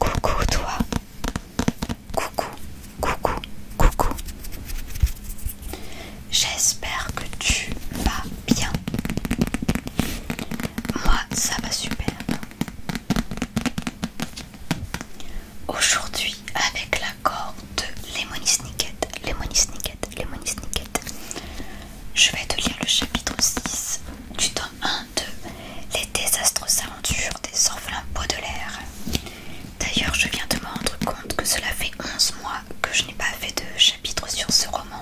Coucou toi. Coucou, coucou, coucou. J'espère que tu vas bien. Moi, ça va super. Aujourd'hui, avec l'accord de Lemony Snicket, Lemony Snicket, Lemony Snicket, je vais te lire le chapitre 6 du tome 1 de Les désastreuses aventures des orphelins Baudelaire. D'ailleurs, je viens de me rendre compte que cela fait 11 mois que je n'ai pas fait de chapitre sur ce roman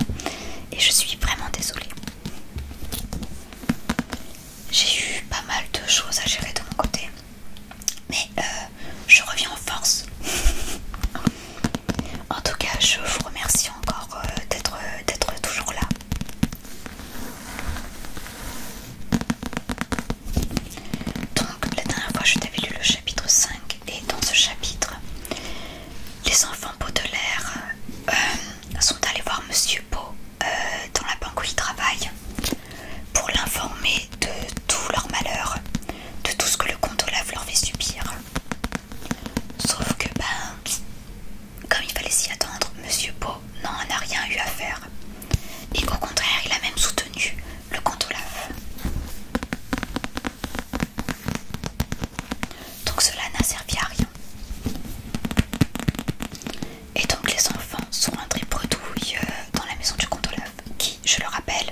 et je suis vraiment désolée. J'ai eu pas mal de choses à gérer de mon côté, mais euh, je reviens en force. En tout cas, je vous remercie encore euh, euh, d'être toujours là. Donc, la dernière fois, je t'avais lu le chapitre 5, et dans ce chapitre, les enfants Baudelaire euh, sont allés voir Monsieur Beau dans la banque où il travaille pour l'informer de tout leur malheur, de tout ce que le comte Olaf leur fait subir. Sauf que, ben, comme il fallait s'y attendre, Monsieur Pau n'en a rien eu à faire. Et au contraire, il a même soutenu le compte Olaf. Donc cela n'a servi à rien. Et donc les enfants sont rentrés bredouilles euh, dans la maison du compte Olaf, qui, je le rappelle,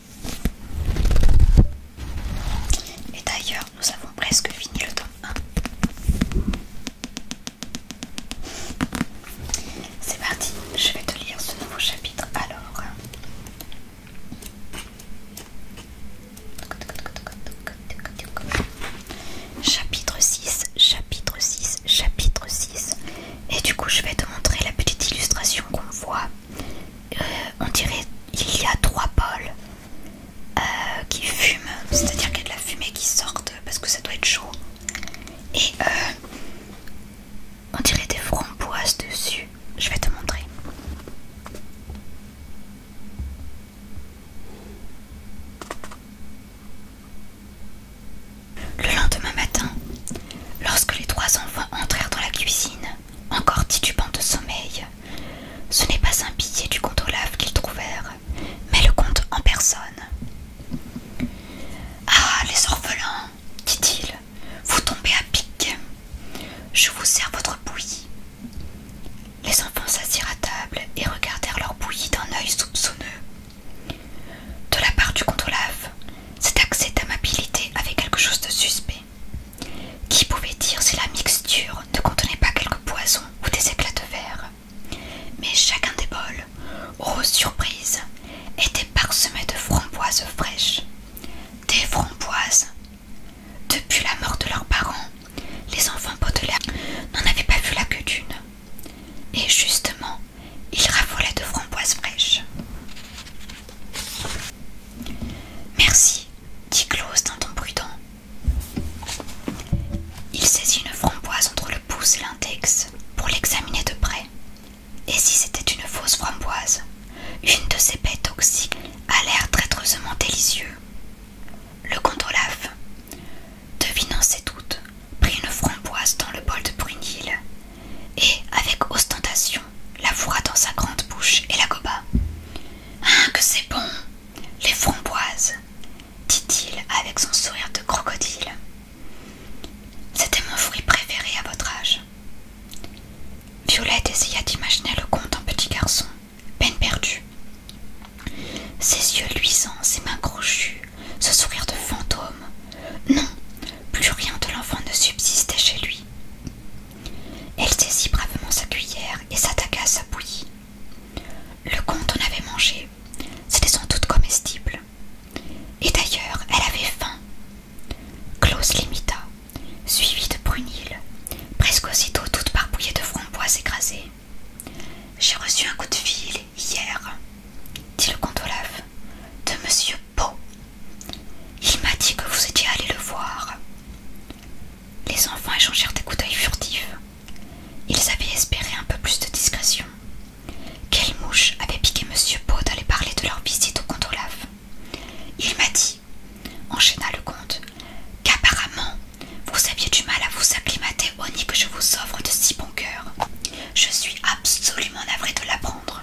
Et d'ailleurs, nous avons presque fini le temps C'est parti, je vais te lire ce nouveau chapitre alors. Chapitre 6, chapitre 6, chapitre 6. Et du coup, je vais te montrer la petite illustration qu'on voit euh, on dirait il y a trois pôles euh, qui fument, c'est-à-dire qu'il y a de la fumée qui sort parce que ça doit être chaud. Et euh, on dirait des framboises dessus. Je vais te montrer. Le lendemain matin, lorsque les trois enfants entrèrent dans la cuisine, encore titubant de sommeil. Ce n'est pas un billet du comte Olaf qu'ils trouvèrent, mais le comte en personne. Ah, les orphelins, dit-il, vous tombez à pic. Je vous sers votre bouillie. Les enfants s'assirent à table et regardèrent leur bouillie d'un œil soupçonneux. De la part du comte Olaf, cet accès d'amabilité avait quelque chose de suspect. Qui pouvait dire si la mixture ne contenait pas quelques poisons ou des éclats de verre Mais chacun des bols, aux surprises, était parsemé de framboises fraîches. Des framboises Depuis la mort de leurs parents, les enfants Baudelaire n'en avaient pas vu la queue d'une. Et justement, ils raffolaient de framboises fraîches. Merci, dit Claus d'un ton prudent. Il saisit une framboise entre le pouce et l'index pour l'examiner de près. Et si c'était une fausse framboise, une de ces baies toxiques a l'air traîtreusement délicieux. Le comte Olaf, devinant ses doutes, prit une framboise dans le bol de Brunil et, avec ostentation, la fourra dans sa grande bouche et la goba. Hein, que c'est bon Les framboises dit-il avec son sourire de crocodile. C'était mon fruit préféré à votre âge. Violette essaya d'imaginer le comte en petit garçon, peine perdue. Ses yeux luisants, ses mains crochues, ce sourire de fantôme. Non, plus rien de l'enfant ne subsistait chez lui. Elle saisit bravement sa cuillère et s'attaqua à sa bouillie. Le comte en avait mangé, c'était sans doute comestible. Et d'ailleurs, elle avait faim. Close l'imita, suivie de Brunil, presque aussitôt toute parbouillée de framboises écrasées. J'ai reçu un coup de fil hier, dit le comte Olaf, de monsieur « Pau, Il m'a dit que vous étiez allé le voir. Les enfants échangèrent des coups d'œil furtifs. Ils avaient espéré un peu plus de discrétion. Quelle mouche avait piqué Monsieur Po d'aller parler de leur visite au Comte Olaf Il m'a dit, enchaîna le comte, qu'apparemment vous aviez du mal à vous acclimater au nid que je vous offre de si bon cœur. Je suis absolument navré de l'apprendre.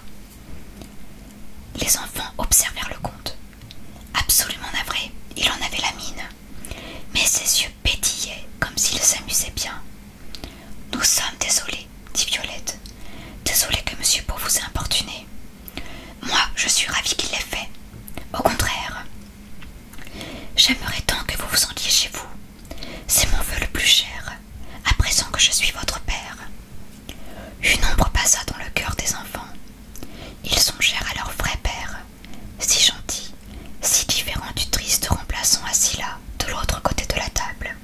Les enfants observèrent le comte. Absolument navré, il en avait la mine. Mais ses yeux pétillaient comme s'ils s'amusaient bien. Nous sommes désolés, dit Violette. désolés que monsieur Beau vous ait importuné. Moi, je suis ravie qu'il l'ait fait. Au contraire. J'aimerais tant que vous vous sentiez chez vous. C'est mon vœu le plus cher, à présent que je suis votre père. Une ombre passa dans le cœur des enfants. Ils songèrent à leur vrai père, si gentil, si différent du triste remplaçant assis là, de l'autre côté de la table.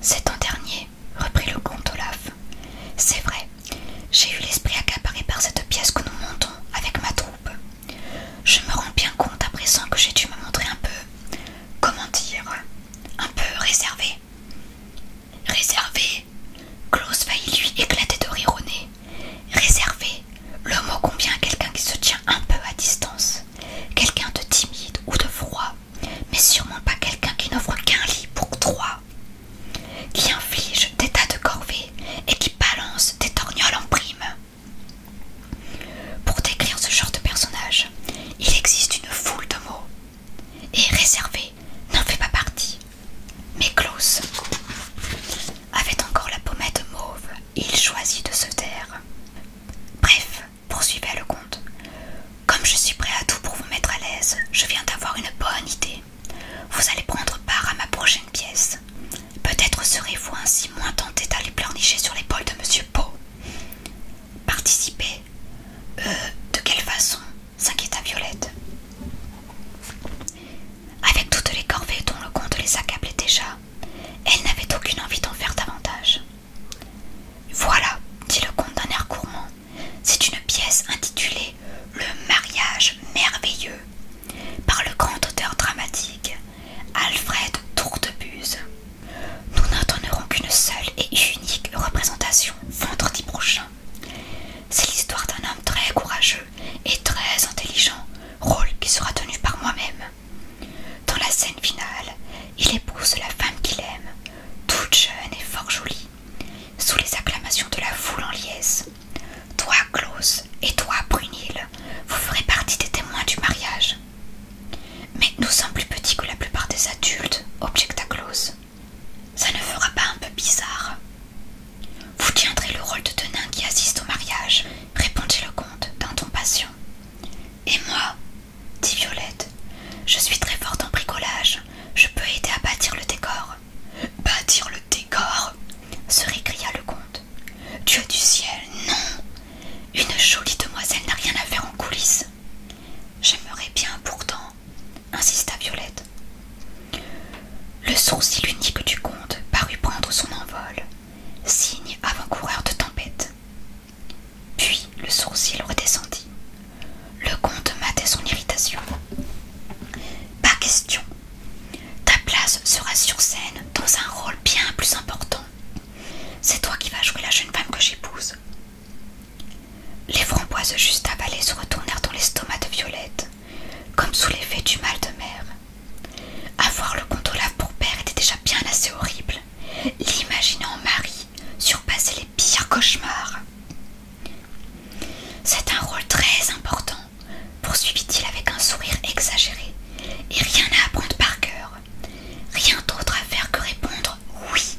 C'est an dernier, reprit le comte Olaf. C'est vrai, j'ai eu l'esprit accaparé par cette pièce que nous montons avec ma troupe. Je me rends bien compte à présent que j'ai dû me montrer un peu, comment dire, un peu réservé. Réservé Klaus y lui éclater de rire au nez. Réservé Le mot combien à quelqu'un qui se tient un peu à distance. Quelqu'un de timide ou de froid, mais sûrement pas quelqu'un qui n'offre qu'un lit pour trois. Qui inflige des tas de corvées et qui balance des torgnoles en prime. Pour décrire ce genre de personnage, il existe une foule de mots et réservé n'en fait pas partie. Mais Klaus avait encore la pommette mauve et il choisit de se taire. Bref, poursuivait le comte, comme je suis prêt à tout pour vous mettre à l'aise, je viens d'avoir une bonne idée. Vous allez prendre part à ma prochaine pièce. Peut-être serez-vous ainsi moins tenté d'aller pleurnicher sur l'épaule de Monsieur Poe participer euh, De quelle façon s'inquiéta Violette. Avec toutes les corvées dont le comte les accablait déjà, elle n'avait aucune envie d'en faire davantage. Voilà, dit le comte d'un air gourmand, c'est une pièce intitulée Le mariage merveilleux par le grand auteur dramatique Alfred Tourtebuse. Nous n'en qu'une seule et unique représentation vendredi prochain. C'est l'histoire d'un homme très courageux et très intelligent, rôle qui sera tenu par moi-même. Dans la scène finale, il épouse la femme qu'il aime, toute jeune et fort jolie, sous les acclamations de la foule en liesse. Toi, Claus et toi, Brunil, vous ferez partie des témoins du mariage. Mais nous sommes plus petits que la plupart des adultes, objecta Claus. Ça ne fera pas un peu bizarre Vous tiendrez le rôle de tenin qui assiste au mariage, répondit le comte d'un ton patient. Et moi dit Violette, je suis très forte en bricolage, je peux aider à bâtir le décor. Bâtir le décor se récria le comte. Dieu du ciel, non Une jolie demoiselle n'a rien à faire en coulisses. J'aimerais bien pourtant, insista Violette. Le sourcil unique du comte parut prendre son envol, signe avant-coureur de tempête. Puis le sourcil redescendit. Le comte matait son irritation. Pas question. Ta place sera sur scène dans un rôle bien plus important. C'est toi qui vas jouer la jeune femme que j'épouse. Les framboises juste avalées se retournèrent dans l'estomac de Violette, comme sous l'effet du mal de mer. Avoir le Olaf pour père était déjà bien assez horrible. L'imaginer en mari surpassait les pires cauchemars. C'est un rôle très important, poursuivit-il avec un sourire exagéré, et rien à apprendre par cœur. Rien d'autre à faire que répondre oui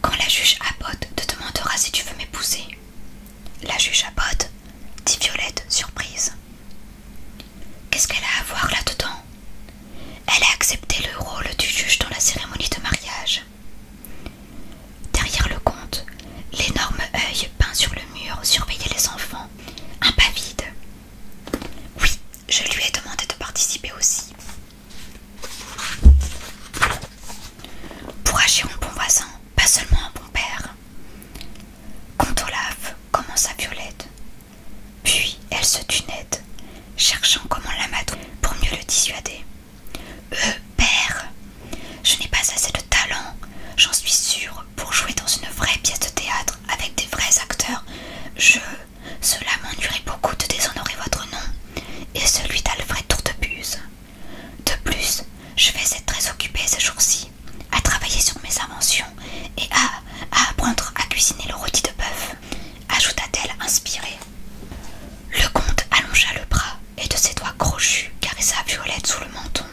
quand la juge Abbott te demandera si tu veux m'épouser. La juge Abbott dit Violette, surprise. Qu'est-ce qu'elle a à voir là-dedans Elle a accepté le rôle du juge dans la cérémonie de mariage. Derrière le comte, l'énorme œil peint sur le mur surveillait les enfants, un pas vide. Oui, je lui ai demandé de participer aussi. Pour agir en bon voisin, pas seulement un bon père. Quand Olaf commence à Violette. Puis elle se tunette cherchant comment l'amadou pour mieux le dissuader. Euh, père, je n'ai pas assez de talent, j'en suis sûre, pour jouer dans une vraie pièce de théâtre avec des vrais acteurs. Je. Cela m'ennuierait beaucoup de déshonorer votre nom et celui d'Alfred Tourtebuse. De plus, je vais être très occupée ces jours-ci à travailler sur mes inventions et à, à apprendre à cuisiner le rôti de bœuf, ajouta-t-elle inspirée. Le comte allongea le bras et de ses doigts crochus caressa Violette sous le menton.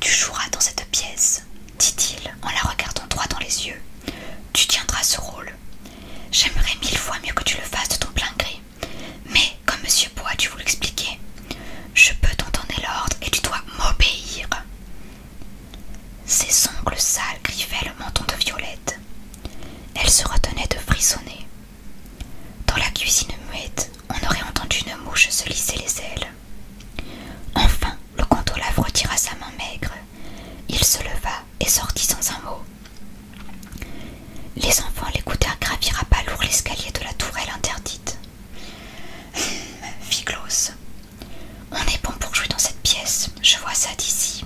Tu joueras dans cette pièce, dit-il en la regardant droit dans les yeux. Tu tiendras ce rôle. J'aimerais mille fois mieux que tu le fasses de ton plein gré. Mais, comme Monsieur Bois, tu vous l'expliquer, je peux t'en l'ordre et tu dois m'obéir. Ses ongles sales griffaient le menton de Violette. Elle se retenait de frissonner. Dans la cuisine muette, on aurait entendu une mouche se lisser les ailes. Enfin, le gondolave retira sa main maigre. Il se leva et sortit sans un mot. Les enfants l'écoutèrent gravir à pas lourd l'escalier de la tourelle interdite. Fit On est bon pour jouer dans cette pièce, je vois ça d'ici.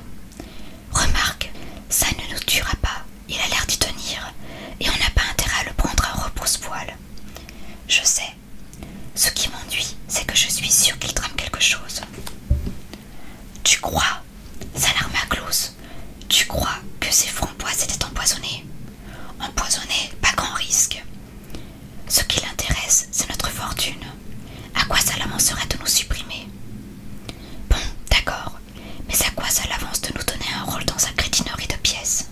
Remarque, ça ne nous tuera pas, il a l'air d'y tenir, et on n'a pas intérêt à le prendre à repousse-poil. Je sais. Ce qui m'ennuie, c'est que je suis sûre qu'il trame quelque chose. Tu crois s'alarma close, Tu crois que ces framboises s'étaient empoisonnées Empoisonnées, pas grand risque. Ce qui l'intéresse, c'est notre fortune. À quoi ça serait de nous supprimer Bon, d'accord, mais à quoi ça l'avance de nous donner un rôle dans sa crétinerie de pièces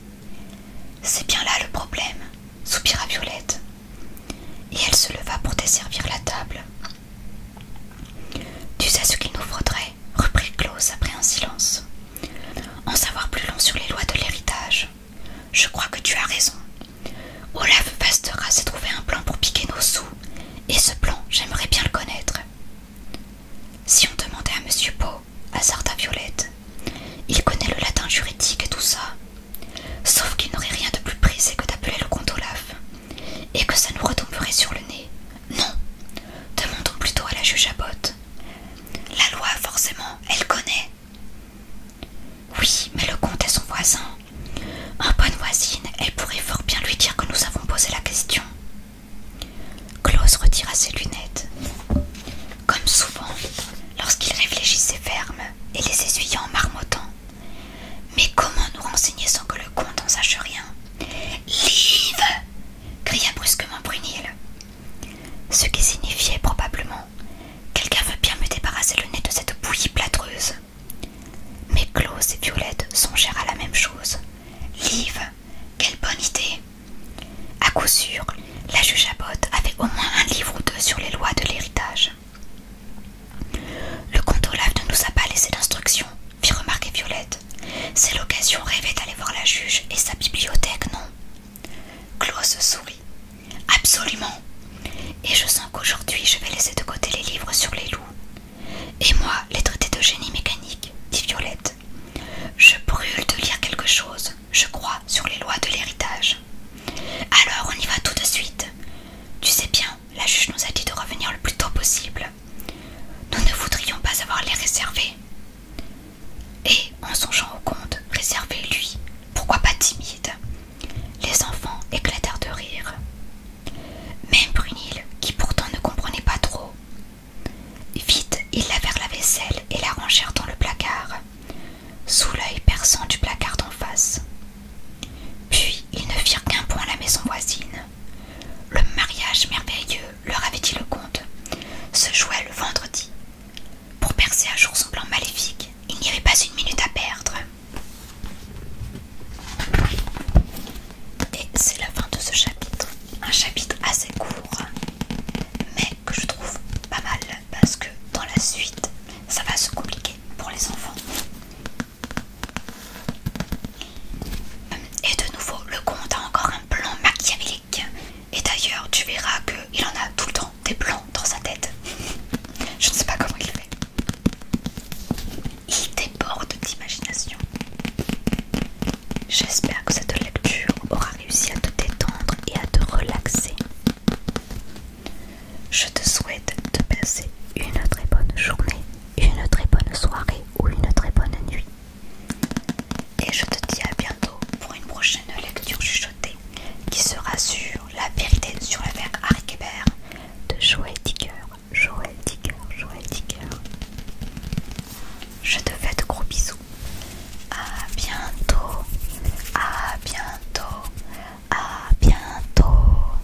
C'est bien là le problème, soupira Violette. Et elle se leva pour desservir la table. Tu sais ce qu'il nous faudrait, reprit Claus après un silence. En savoir plus long sur les lois de l'héritage. Je crois que tu as raison. Olaf Bastera s'est trouvé un plan pour piquer nos sous, et ce plan, j'aimerais bien le connaître. Si on demandait à Monsieur Poe, hasarda Violette, il connaît le latin juridique et tout ça, sauf qu'il n'aurait rien de plus précis que d'appeler le comte Olaf. Et que ça nous retomberait sur le nez Non Demandons plutôt à la juge à botte La loi, forcément, elle connaît. Oui, mais le comte est son voisin. Un bonne voisine, elle pourrait fort bien lui dire que nous avons posé la question. Claus retira ses lunettes. Comme souvent, lorsqu'il réfléchissait ferme et les essuyant en marmottant, mais comment nous renseigner sans que le comte en sache rien Live cria brusquement Brunil. Ce qui signifiait probablement Quelqu'un veut bien me débarrasser le nez de cette bouillie plâtreuse. Mais Claus et Violette songèrent à la même chose. Live, quelle bonne idée À coup sûr, la juge à bottes avait au moins un livre ou deux sur les lois de l'héritage. Le comte Olaf ne nous a pas laissé d'instructions, fit remarquer Violette. C'est l'occasion rêvée d'aller voir la juge et sa bibliothèque, non Klaus sourit. Absolument. Et je sens qu'aujourd'hui je vais laisser de côté les livres sur les loups. Et moi, les traités de génie mécanique, dit Violette. Je brûle de lire quelque chose, je crois, sur les lois de l'héritage. Alors on y va tout de suite. Tu sais bien la juge nous a dit de revenir le plus tôt possible. Nous ne voudrions pas avoir les réservés. Et, en songeant au comte, réservé lui, pourquoi pas timide Les enfants éclatèrent de rire. Même Brunil, qui pourtant ne comprenait pas trop. Vite, ils lavèrent la vaisselle et la rangèrent dans le placard, sous l'œil perçant du placard d'en face. Puis ils ne firent qu'un point à la maison voisine. Le mariage merveilleux, leur avait dit le comte, se jouait le vendredi. Pour percer à jour son plan maléfique, il n'y avait pas une minute à perdre. Et c'est la fin de ce chapitre. Un chapitre assez court, mais que je trouve pas mal parce que dans la suite, ça va se compliquer pour les enfants. Euh, et de nouveau, le comte a encore un plan machiavélique. Et d'ailleurs, tu verras qu'il en a tout le temps des plans dans sa tête. Je ne sais pas comment il fait. Il déborde d'imagination. J'espère que cette lecture aura réussi à te détendre et à te relaxer. Je te souhaite de passer une très bonne journée une très bonne soirée ou une très bonne nuit. Et je te dis à bientôt pour une prochaine lecture chuchotée qui sera sur la vérité sur les Harry de Joël Dicker. Joël Dicker, Joël Je te fais de gros bisous. À bientôt. À bientôt. À bientôt.